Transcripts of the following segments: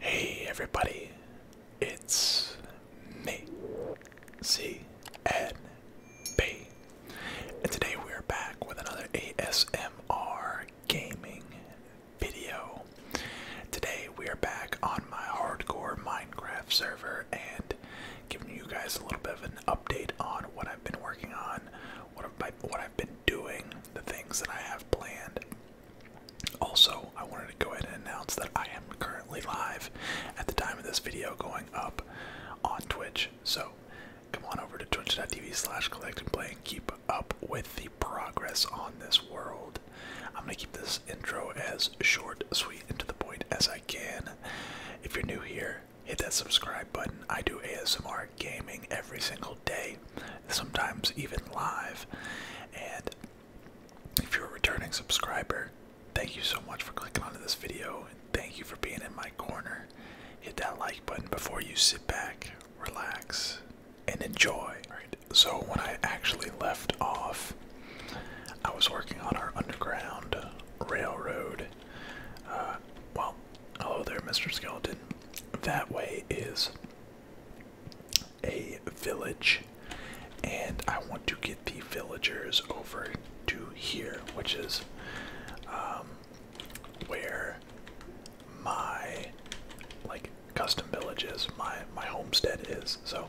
Hey everybody, it's me, C and and today we're back with another ASMR gaming video. Today we are back on my hardcore Minecraft server, and giving you guys a little bit of an update on what I've been working on, what I, what I've been doing, the things that I have planned. Also, I wanted to go ahead and announce that I am currently live at the time of this video going up on Twitch. So come on over to twitch.tv slash collect and play and keep up with the progress on this world. I'm gonna keep this intro as short, sweet, and to the point as I can if you're new here, hit that subscribe button. I do ASMR gaming every single day, sometimes even live. And if you're a returning subscriber, thank you so much for clicking onto this video and thank you for being in my corner. Hit that like button before you sit back, relax, and enjoy. so when I actually left off I was working on our underground railroad. Uh, well, hello there, Mr. Skeleton. That way is a village, and I want to get the villagers over to here, which is um, where my like custom village is, my my homestead is. So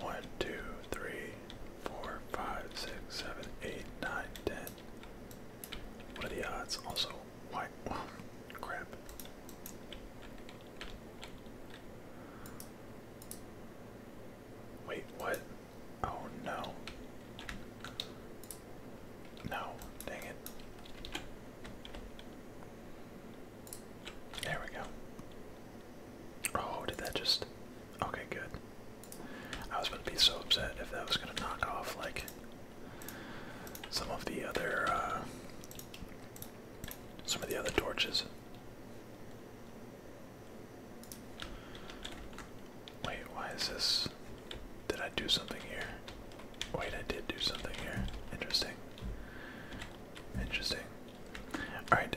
1, 2, 3, 4, 5, 6, 7, 8, 9, 10. What are the odds? Also, white. crap. Wait, what? Oh no. No, dang it. There we go. Oh, did that just. Okay, good. I was going to be so upset if that was going to knock off, like, some of the other, uh, Some of the other torches. Wait, why is this? Did I do something here? Wait, I did do something here. Interesting. Interesting. Alright,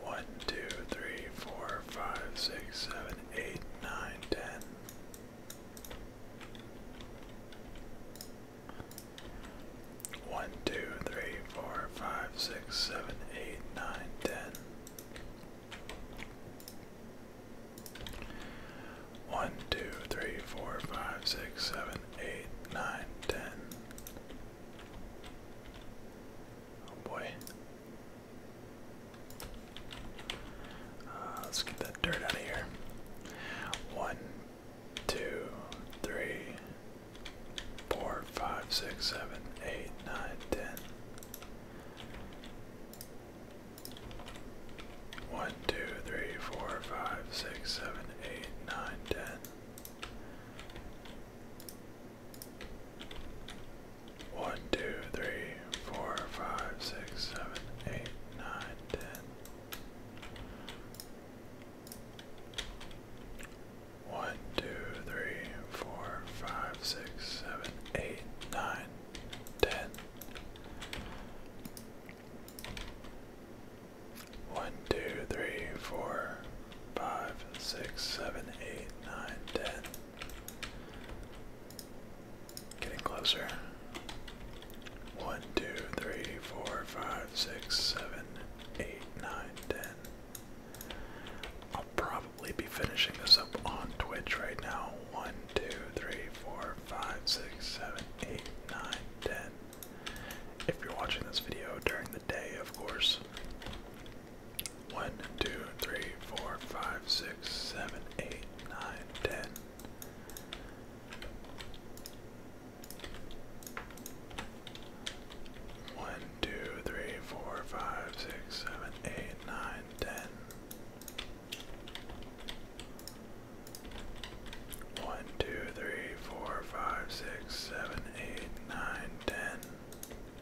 1, 2, 3, 4, 5, 6, 7, 8, 9, 10. One, two, three, four, five, six, seven, eight, nine, ten. One, two, three, four, five, six, seven, eight, nine, ten. Oh boy. Uh, let's get that dirt out of here. One, two, three, four, five, six, seven, eight, nine, ten. One, two, three, four, five, six, seven, eight, nine, ten. 1, 2, 3, 4, 5, 6, 7, 8, 9, 10. One, two, three, four, five, six, seven, eight, nine, ten. One, two, three, four, five, six, seven, eight, nine, ten. Getting closer. One, two, three, four, five, six, seven, eight, nine, ten. I'll probably be finishing this up on Twitch right now. One, two, three, four, five, six, seven, eight, nine, ten. If you're watching this video during the day, of course. 1, 2, 3, 4, 5, 6, 7, 8, 9, 10. One, two, three, four, five, six, seven, eight, nine, ten. One, two, three, four, five, six, seven, eight, nine, ten.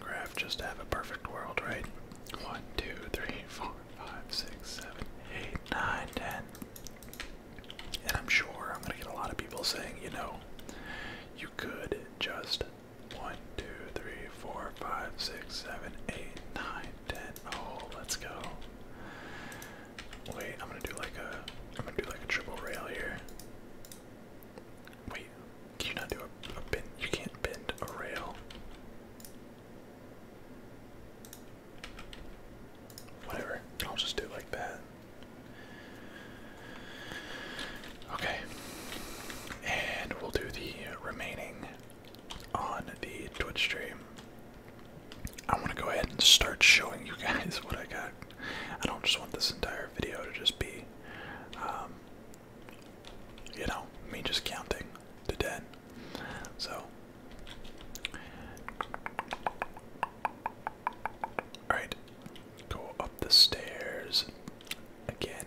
Minecraft just have a perfect world, right? 1, And I'm sure I'm going to get a lot of people saying, you know, you could just 1, 2, 3, 4, 5, 6, 7, 8, 9, 10. Oh, let's go. Wait, I'm gonna do like a I'm gonna do like a triple rail here. Wait, can you not do a, bend? You can't bend a rail. Whatever, I'll just do it like that. Okay, and we'll do the remaining on the Twitch stream. I want to go ahead and start showing you guys what I got. I don't just want this entire video to just be um, you know, me just counting to 10. So. Alright, go up the stairs. Again,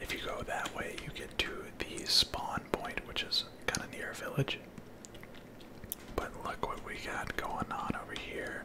if you go that way, you get to the spawn point, which is kind of near a village. But look what we got going on over here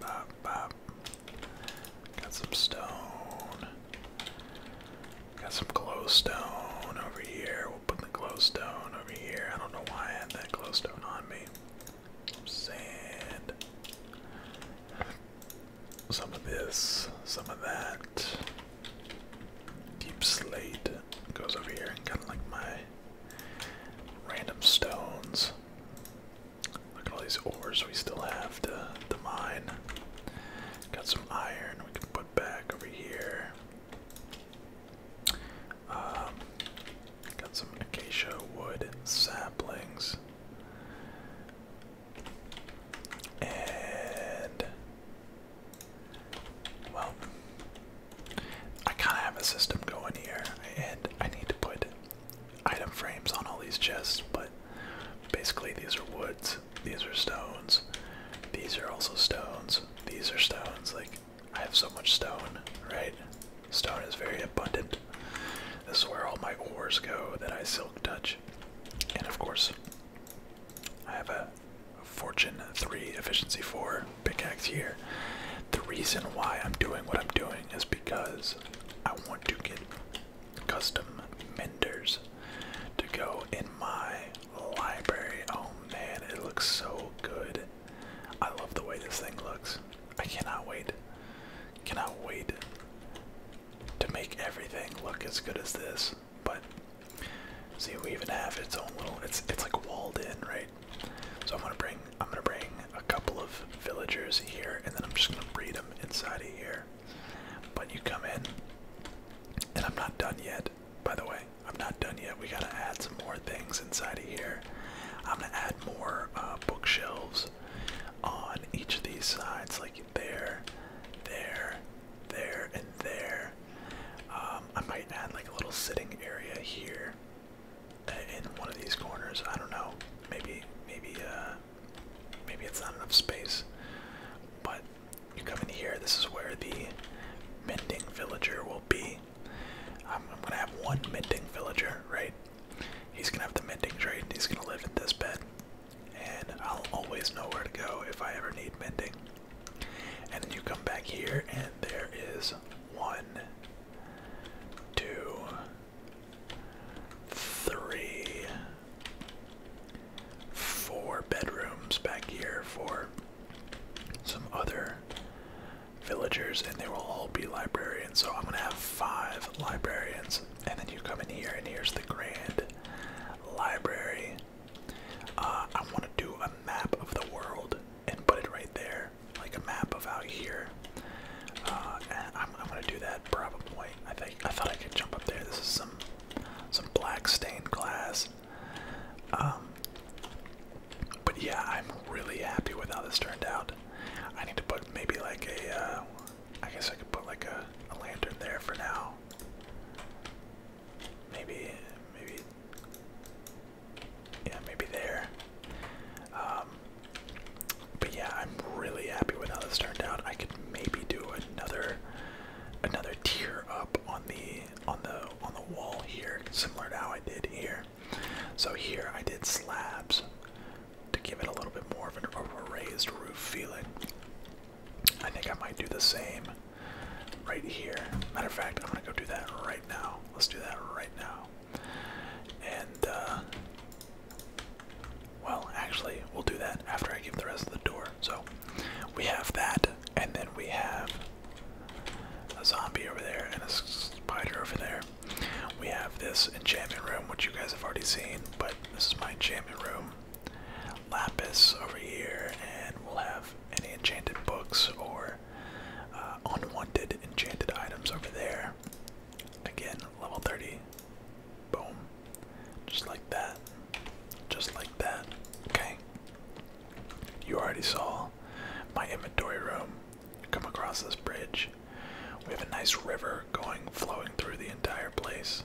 Got some stone. Got some glowstone over here. We'll put the glowstone over here. I don't know why I had that glowstone on me. sand. Some of this, some of that. Deep slate goes over here and kind of like my random stones. Look at all these ores we still have to, mine. Got some iron we can put back over here. Um, got some acacia wood saplings. And well, I kind of have a system going here, and I need to put item frames on all these chests, but basically these are woods, these are stones, these are also stones, these are stones. Like, I have so much stone, right? Stone is very abundant. This is where all my ores go that I silk touch. And of course, I have a Fortune 3 Efficiency 4 pickaxe here. The reason why I'm doing what I'm doing is because I want to get custom menders to go in my library. Oh man, it looks so good. I love the way this thing looks. I cannot wait. Cannot wait to make everything look as good as this. But see, we even have its own little. It's it's like walled in, right? So I'm gonna bring. I'm gonna bring a couple of villagers here, and then I'm just gonna breed them inside of here. But you come in, and I'm not done yet. By the way, I'm not done yet. We gotta add some more things inside of here. I'm gonna add more uh, bookshelves on each of these sides, like there, there, there, and there. Um, I might add like a little sitting area here uh, in one of these corners. I don't know. Maybe, maybe, uh, maybe it's not enough space. But you come in here, this is where the mending villager will be. I'm, gonna have one mending villager, right? He's gonna have the mending trade, he's gonna live in this bed. And I'll always know where to go if I ever need mending. And then you come back here, and there is one, two, three, four bedrooms back here for some other villagers, and they will all be librarians. So I'm gonna have five librarians, and then you come in here, and here's the grand library. Uh, I want to do a map of the world and put it right there, like a map of out here uh, I'm, gonna do that probably. I think I thought I could jump up there. This is some some black stained glass. Um, but yeah, I'm really happy with how this turned out. I need to put maybe like a. Uh, guess I could put like a, lantern there for now. Maybe, maybe. Yeah, maybe there. Um, but yeah, I'm really happy with how this turned out. I could maybe do another another tier up on the on the on the wall here, similar to how I did here. So here I did slabs to give it a little bit more of an a raised roof feeling. I think I might do the same right here. Matter of fact, I'm gonna go do that right now. Let's do that right now. And, uh, well, actually, we'll do that after I give the rest of the door. So, we have that, and then we have a zombie over there and a spider over there. We have this enchantment room, which you guys have already seen, but this is my enchantment room. Lapis over here, and we'll have any enchanted books or uh, unwanted enchanted items over there. Again, level 30 Boom. Just like that. Just like that. Okay. You already saw my inventory room. Come across this bridge. We have a nice river going, flowing through the entire place.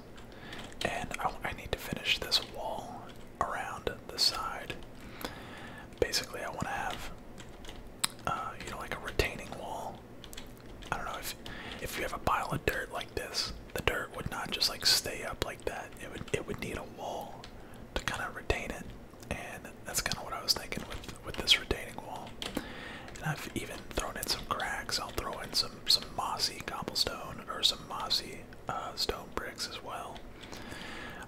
And I, need to finish this wall around the side. Basically, I want to have, uh, you know, like a retaining wall I don't know if if you have a pile of dirt like this, the dirt would not just like stay up like that. It would it would need a wall to kind of retain it, and that's kind of what I was thinking with with this retaining wall. And I've even thrown in some cracks. I'll throw in some some mossy cobblestone or some mossy uh, stone bricks as well.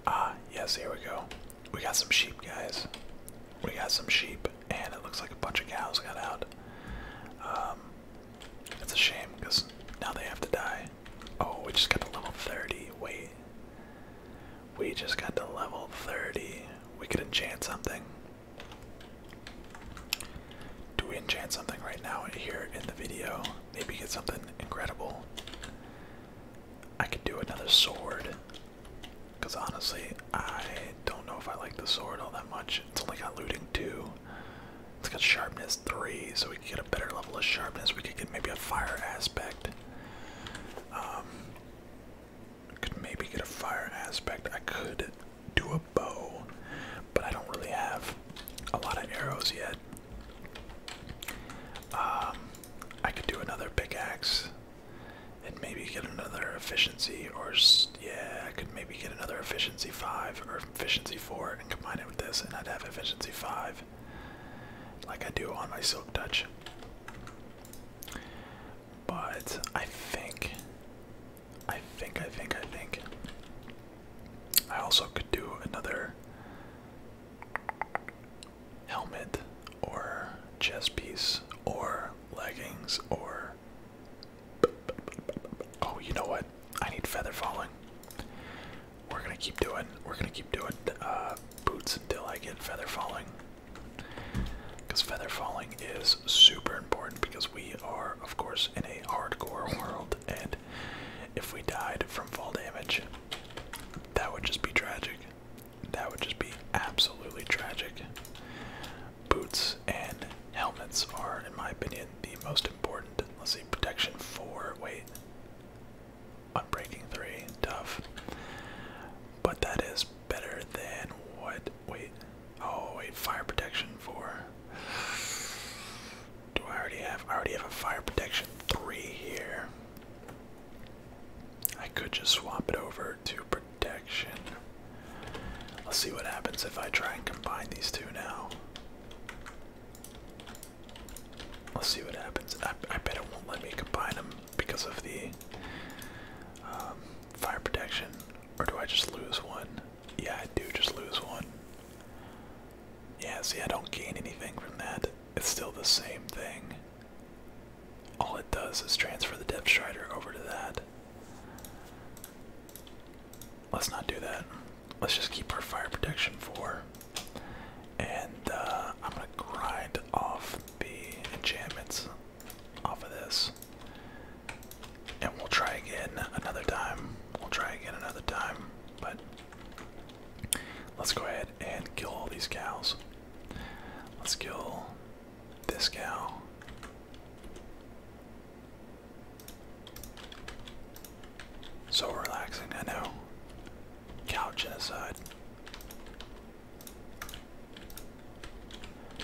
Ah, uh, yes, here we go. We got some sheep, guys. We got some sheep and it looks like a bunch of cows got out. Um, it's a shame because now they have to die. Oh, we just got to level 30. Wait. We just got to level 30. We could enchant something. Do we enchant something right now here in the video? Maybe get something incredible. I could do another sword. Because honestly, I don't know if I like the sword all that much. It's only got looting 2. It's got sharpness 3, so we could get a better level of sharpness. We could get maybe a fire aspect. Um, could maybe get a fire aspect. I could do a bow, but I don't really have a lot of arrows yet. Um, I could do another pickaxe and maybe get another efficiency or yeah i could maybe get another efficiency 5 or efficiency 4 and combine it with this and i'd have efficiency 5 like i do on my silk touch but i think i think i think i think i also could do another helmet or chest piece or or leggings or. Oh, you know what? I need feather falling. We're gonna keep doing. We're gonna keep doing uh, boots until I get feather falling. Because feather falling is super important because we are, of course, in a hardcore world, and if we died from fall damage, that would just be tragic. That would just be absolutely tragic. Boots and helmets are, in my opinion, the most important. Let's see, protection for Wait, unbreaking three. Tough, but that is better than what? Wait, oh wait, fire protection for? Do I already have? I already have a fire protection three here. I could just swap it over to protection. Let's see what happens if I try and combine these two now. Let's see what happens. I, bet it won't let me combine them because of the um, fire protection. Or do I just lose one? Yeah, I do just lose one. Yeah, see, I don't gain anything from that. It's still the same thing all it does is transfer the Depth Strider over to that. Let's not do that. Let's just keep our Fire Protection for. And uh, I'm going to grind off the enchantments off of this. And we'll try again another time. We'll try again another time. But let's go ahead and kill all these cows. Let's kill this gal. So relaxing, I know. Cow genocide.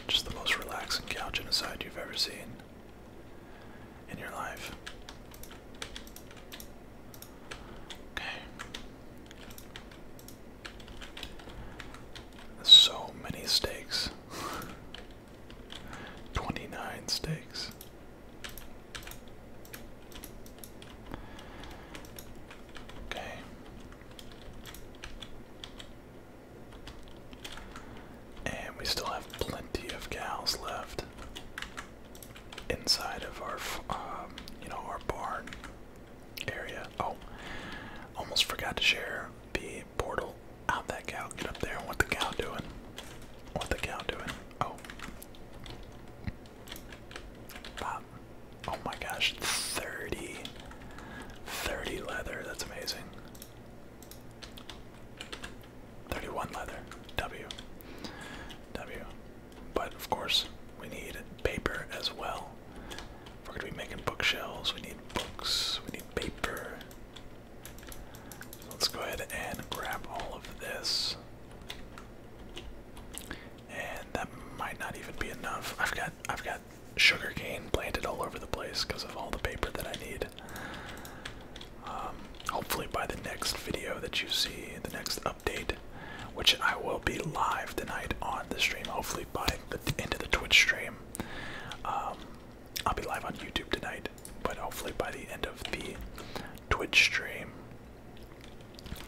Just the most relaxing cow genocide you've ever seen in your life. Okay. So many stakes. 29 stakes. Okay. And we still have plenty of cows left inside of our, um, you know, our barn area. Oh, almost forgot to share the portal. Out that cow, get up there. What the cow doing? What the cow doing? Oh. Pop. Oh my gosh, 30. 30 leather, that's amazing. 31 leather. W. W. But of course, we need paper as well we're gonna be making bookshelves, we need books, we need paper. let's go ahead and grab all of this. And that might not even be enough. I've got I've got sugar cane planted all over the place because of all the paper that I need. Um, hopefully by the next video that you see, the next update, which I will be live tonight on the stream. Hopefully by the end of the Twitch stream. Um, I'll be live on YouTube tonight, but hopefully by the end of the Twitch stream,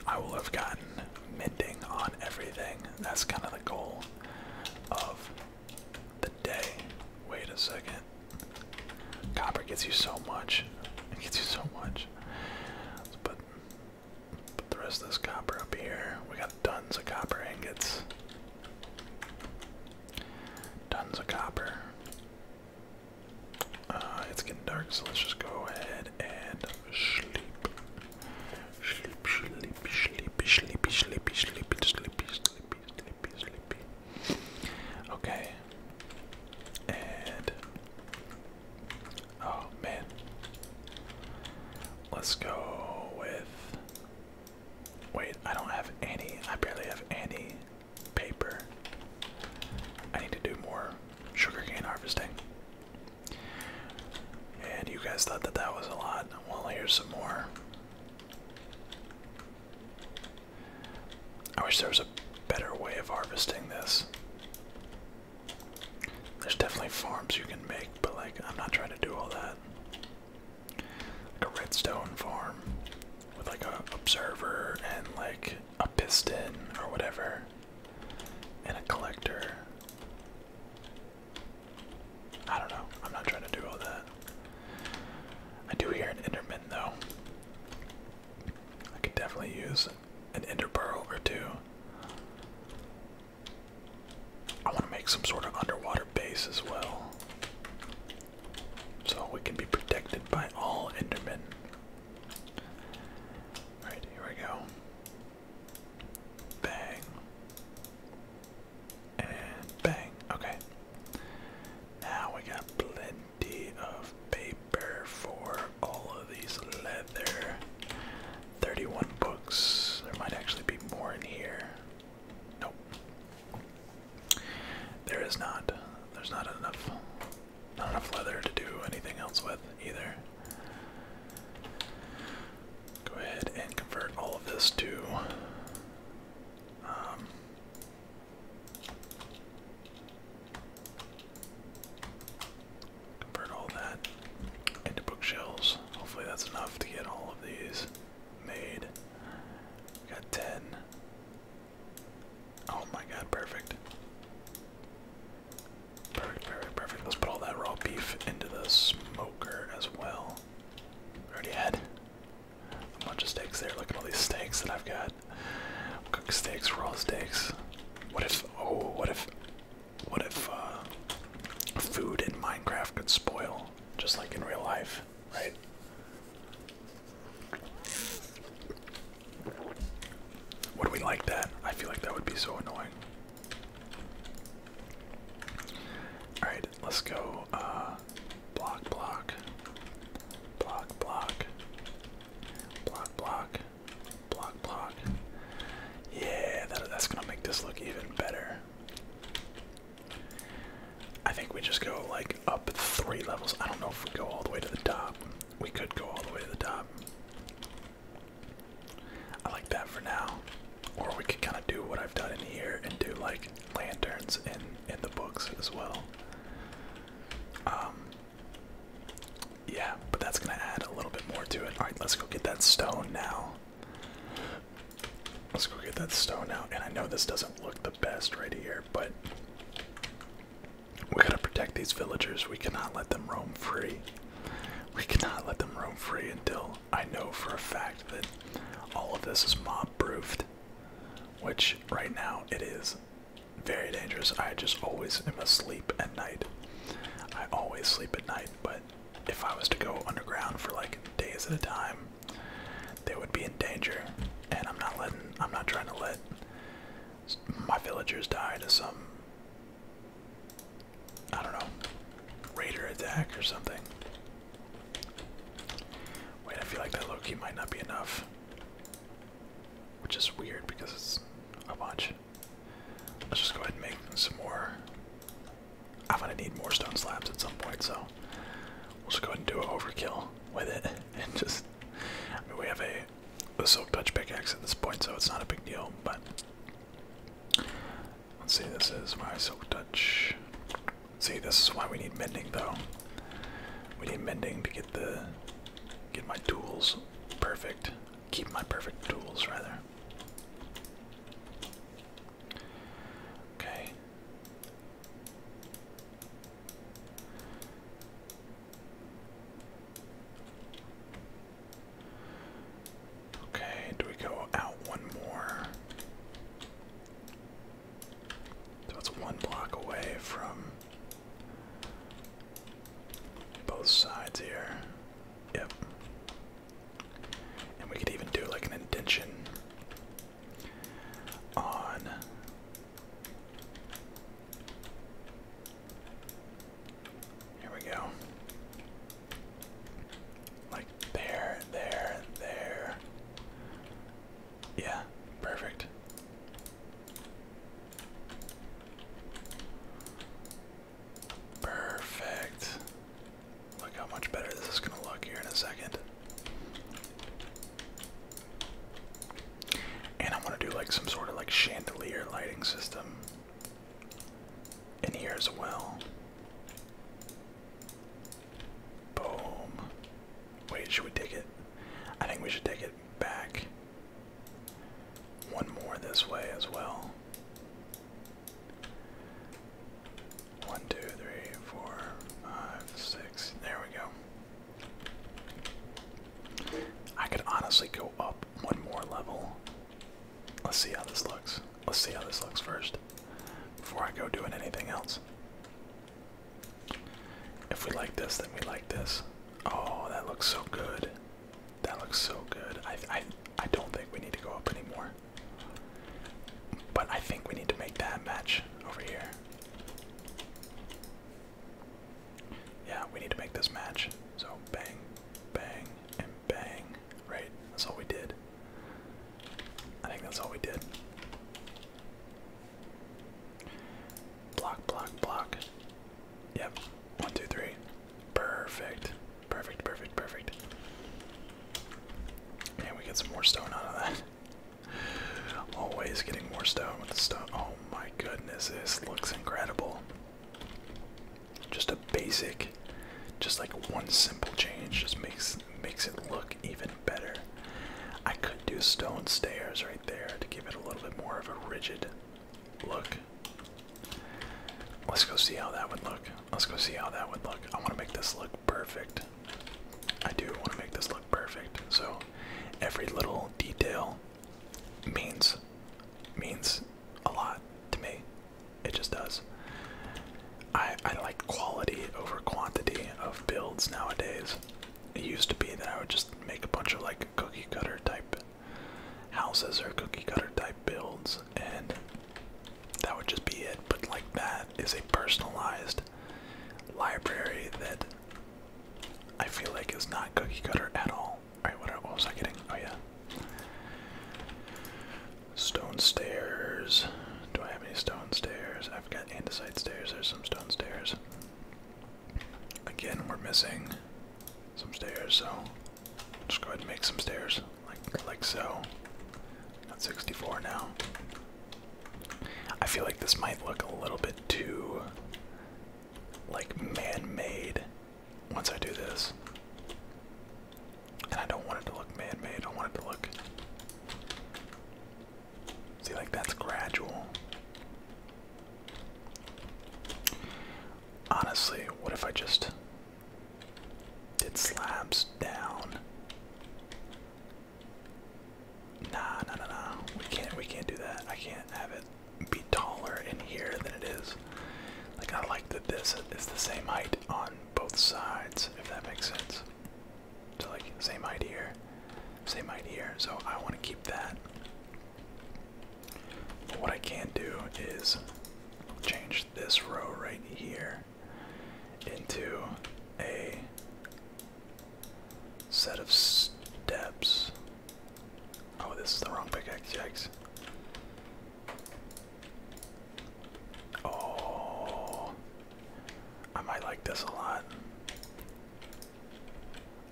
I will have gotten mending on everything. That's kind of the goal of the day. Wait a second. Copper gets you so much. It gets you so much. Let's put Put the rest of this copper up here. We got tons of copper ingots. Tons of copper. Uh, it's getting dark, so let's just go ahead and sleep, sleepy, sleepy, sleepy, sleepy, sleepy, sleepy, sleepy, sleepy, sleepy. Okay. And Oh man. Let's go with. Wait, I don't have any. I barely have any paper. I need to do more sugar cane harvesting. And you guys thought that that was a lot. Well, here's some more. I wish there was a better way of harvesting this. There's definitely farms you can make, but like I'm not trying to do all that. Like a redstone farm with like a observer and like a piston or whatever and a collector. I don't know. I'm not trying to do all that. I do hear an enderman though. I could definitely use an ender pearl or two. I want to make some sort of underwater base as well. So we can be protected by all Endermen. Alright, here we go. Bang. And bang. Okay. Now we got plenty of paper for all of these leather. 31 books. There might actually be more in here. Nope. There is not. There's not enough not enough leather to do anything else with either. Go ahead and convert all of this to um, Convert all that into bookshelves. Hopefully that's enough to get all of these made. We got 10. Oh my god, perfect. Perfect, perfect, perfect. Let's put all that raw beef into the smoker as well. We already had a bunch of steaks there. Look at all these steaks that I've got. Cook steaks, raw steaks. What if, oh, what if, what if uh, food in Minecraft could spoil, just like in real life, right? Would we like that? I feel like that would be so annoying. Alright, let's go. Uh, block, block. Block, block. Block, block. Block, block. Yeah, that, that's gonna make this look even better. I think we just go like up three levels. I don't know if we go all the way to the top. We could go all the way to the top. I like that for now. Or we could kind of do what I've done in here and do like lanterns in in the books as well. Um, yeah, but that's gonna add a little bit more to it. Alright, let's go get that stone now. Let's go get that stone out. And I know this doesn't look the best right here, but we gotta protect these villagers. We cannot let them roam free. We cannot let them roam free until I know for a fact that all of this is mob proofed. Which right now it is very dangerous. I just always am asleep at night. I always sleep at night but if I was to go underground for like days at a time, they would be in danger, and I'm not letting, I'm not trying to let my villagers die to some, I don't know, raider attack or something. Wait, I feel like that low key might not be enough. Which is weird because it's a bunch. Let's just go ahead and make some more. I'm gonna need more stone slabs at some point, so we'll just go ahead and do an overkill with it. And just, we have a, a silk touch pickaxe at this point, so it's not a big deal, but let's see, this is my silk touch. See, this is why we need mending, though. We need mending to get the, get my tools perfect, keep my perfect tools, rather. Okay. Okay, do we go out one more? So it's one block away from both sides here. Yep. And we could even do like an indention on here we go. Like there, there, there. Yeah, perfect. Perfect. Look how much better this is going to look here in a second. And I want to do like some sort of like chandelier lighting system in here as well. Boom. Wait, should we take it? I think we should take it back. One more this way as well. One, two, three, four, five, six. There we go. I could honestly go up one more level. Let's see how this looks. Let's see how this looks first before I go doing anything else. If we like this, then we like this. Oh, that looks so good. That looks so good. I I I don't think we need to go up anymore. But I think we need to make that match over here. Yeah, we need to make this match. So bang, bang, and bang. Right? That's all we did. I think that's all we did. Block, block, block. Yep. One, two, three. Perfect. Perfect, perfect, perfect. And we get some more stone out of that. Always getting more stone with the stone. Oh my goodness, this looks incredible. Just a basic, just like one simple change just makes makes it look even better. I could do stone stairs right there to give it a little bit more of a rigid look. Let's go see how that would look. Let's go see how that would look. I want to make this look perfect. I do want to make this look perfect. So every little detail means means a lot to me. It just does. I I like quality over quantity of builds nowadays. It used to be that I would just make a bunch of like cookie cutter type houses or cookie cutter type builds, and that would just be it. But like that is a personalized library that I feel like is not cookie cutter at all. Alright, what was I getting? Oh yeah. Stone stairs. Do I have any stone stairs? I've got andesite stairs. There's some stone stairs. Again, we're missing some stairs, so just go ahead and make some stairs, like like so. At 64 now. I feel like this might look a little bit too like man-made once I do this. And I don't want it to look man-made. I want it to look See like that's gradual. Honestly, what if I just did slabs down? Nah, nah, nah, nah. We can't, we can't do that. I can't have it be taller in here than it is. Like I like that this is the same height on both sides, if that makes sense. So like same height here, same height here. So I want to keep that what I can do is change this row right here into a set of steps. Oh, this is the wrong pickaxe. Yikes. Oh, I might like this a lot.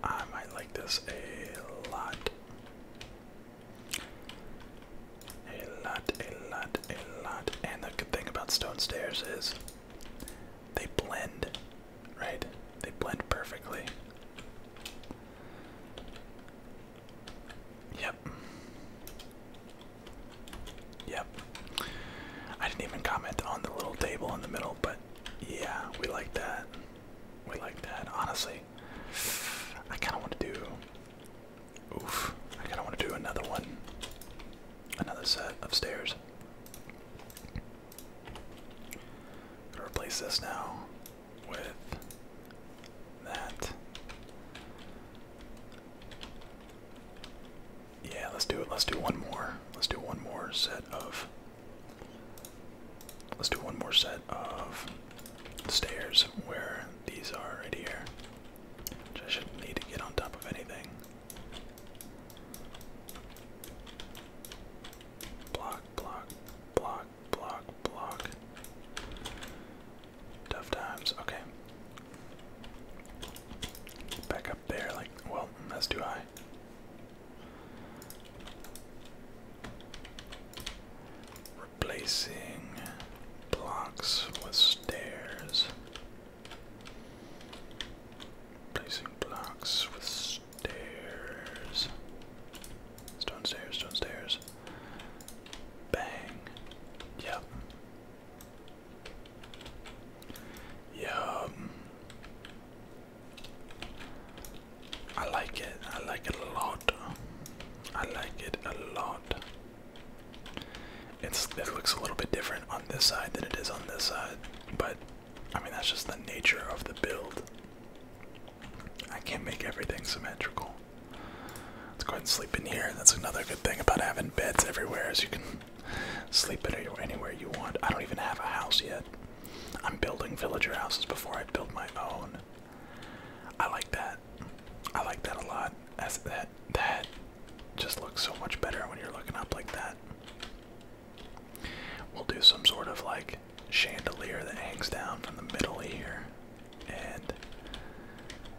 I might like this a lot. A lot, a lot, a lot. And the good thing about stone stairs is they blend, right? They blend perfectly. Yep. Yep. I didn't even comment on the little table in the middle, but yeah, we like that. We like that. Honestly, I kind of want to do. Oof! I kind of want to do another one, another set of stairs. I'm gonna replace this now with that. Yeah, let's do it. Let's do one more. Let's do one more set of Let's do one more set of stairs where these are right here. Which I shouldn't need to get on top of anything. Block, block, block, block, block. Tough times, okay. Back up there, like, well, that's too high. Replacing blocks with stairs. Replacing blocks with stairs. Stone stairs, stone stairs. Bang. Yep. Yep. I like it. I like it a lot. I like it a lot. it looks a little bit different on this side than it is on this side, but I mean that's just the nature of the build. I can't make everything symmetrical. Let's go ahead and sleep in here. That's another good thing about having beds everywhere is you can sleep anywhere you want. I don't even have a house yet. I'm building villager houses before I build my own. I like that. I like that a lot. As that that just looks so much better when you're looking up like that. We'll do some sort of like chandelier that hangs down from the middle here. And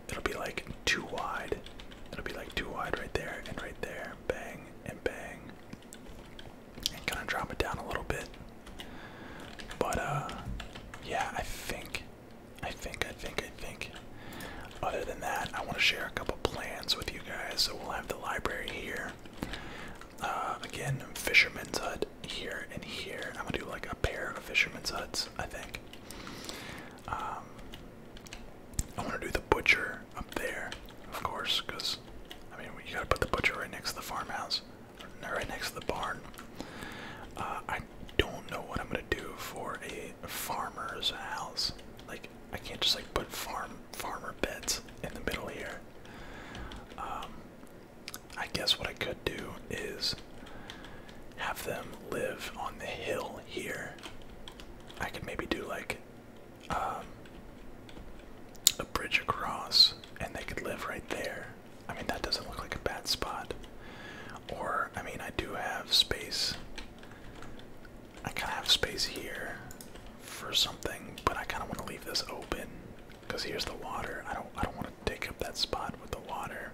it'll be like too wide. It'll be like too wide right there and right there. Bang and bang and kind of drop it down a little bit. But uh, yeah, I think, I think, I think, I think. Other than that, I want to share a couple plans with you guys. So we'll have the library here. Uh, again, fisherman's hut here and here. I'm gonna do like a pair of fisherman's huts, I think. Um, I want to do the butcher up there, of course, because I mean you gotta put the butcher right next to the farmhouse right next to the barn. Uh, I don't know what I'm gonna do for a farmer's house. Like I can't just like put farm farmer beds in the middle here. Um, I guess what I could do is have them live on the hill here. I could maybe do like um, a bridge across, and they could live right there. I mean, that doesn't look like a bad spot. Or, I mean, I do have space. I kind of have space here for something, but I kind of want to leave this open because here's the water. I don't. I don't want to take up that spot with the water.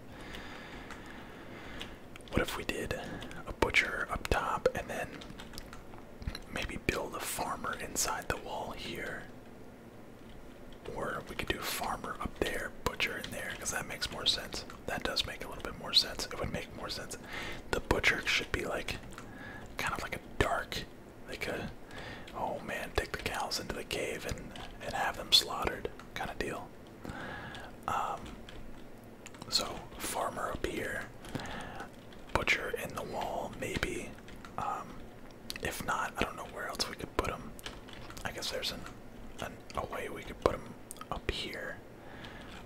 What if we did a butcher up top and then maybe build a farmer inside the wall here or we could do farmer up there, butcher in there, because that makes more sense. That does make a little bit more sense. It would make more sense. The butcher should be like, kind of like a dark, like a, oh man, take the cows into the cave and and have them slaughtered kind of deal. Um, so farmer up here. Butcher in the wall, maybe. Um, if not, I don't know where else we could put him. I guess there's an, a way we could put him up here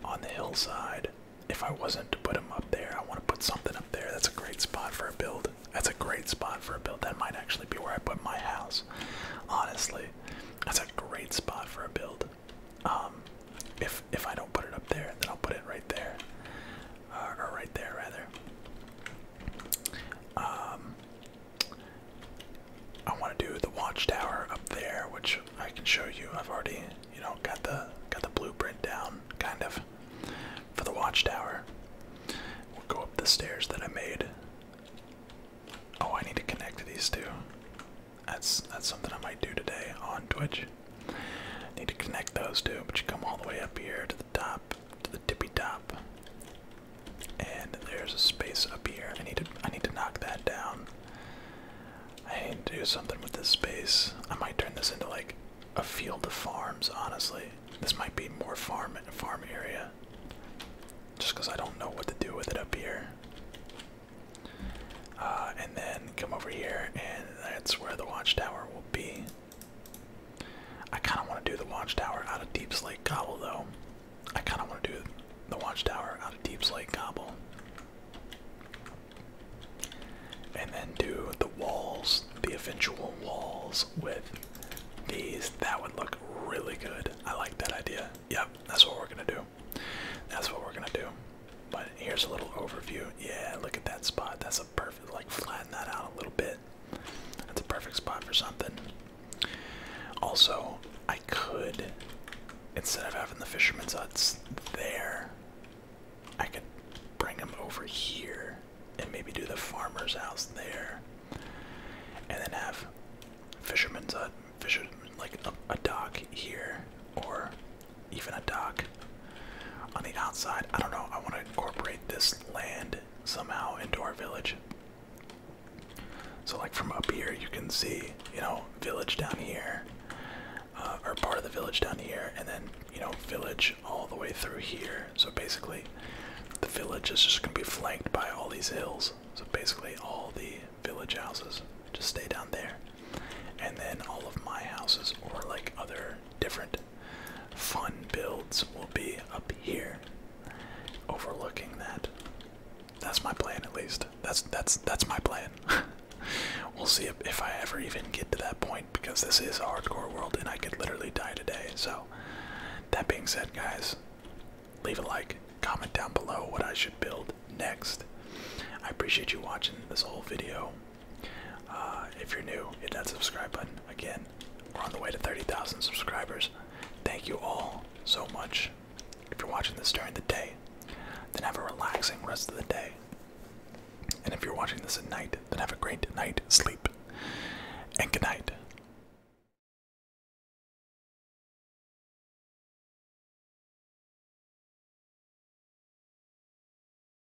on the hillside. If I wasn't to put him up there, I want to put something up there. That's a great spot for a build. That's a great spot for a build. That might actually be where I put my house. Honestly, that's a great spot for a build. Um, if if I don't put it up there, then I'll put it right there. Uh, or right there rather. Um, I want to do the watchtower up there, which I can show you. I've already, you know, got the got the blueprint down, kind of, for the watchtower. We'll go up the stairs that I made. Oh, I need to connect these two. That's that's something I might do today on Twitch. Need to connect those two, but you come all the way up here to the top, to the tippy top. And there's a space up here. I need to I need to knock that down. I need to do something with this space. I might turn this into like a field of farms, honestly. This might be more farm farm area. Just because I don't know what to do with it up here. Uh, and then come over here, and that's where the watchtower will be. I kind of want to do the watchtower out of Deep Slate Cobble, though. I kind of want to do the watchtower out of Deep Slate Cobble. And then do the walls, the eventual walls with these. That would look really good. I like that idea. Yep, that's what we're going to do. That's what we're going to do. But here's a little overview. Yeah, look at that spot. That's a perfect like flatten that out a little bit. That's a perfect spot for something. Also, I could, instead of having the fisherman's huts there, I could bring them over here and maybe do the farmer's house there. And then have fisherman's hut, fisher, like a, a dock here or even a dock. On the outside, I don't know, I want to incorporate this land somehow into our village. So, like from up here, you can see, you know, village down here, uh, or part of the village down here, and then, you know, village all the way through here. So, basically, the village is just going to be flanked by all these hills. So, basically, all the village houses just stay down there. And then all of my houses, or like other different fun builds will be up here overlooking that. That's my plan at least. That's that's that's my plan. we'll see if, if I ever even get to that point because this is a hardcore world and I could literally die today. So that being said guys, leave a like, comment down below what I should build next. I appreciate you watching this whole video. Uh, if you're new, hit that subscribe button. Again, we're on the way to 30,000 subscribers. Thank you all so much. If you're watching this during the day, then have a relaxing rest of the day. And if you're watching this at night, then have a great night sleep. And good night.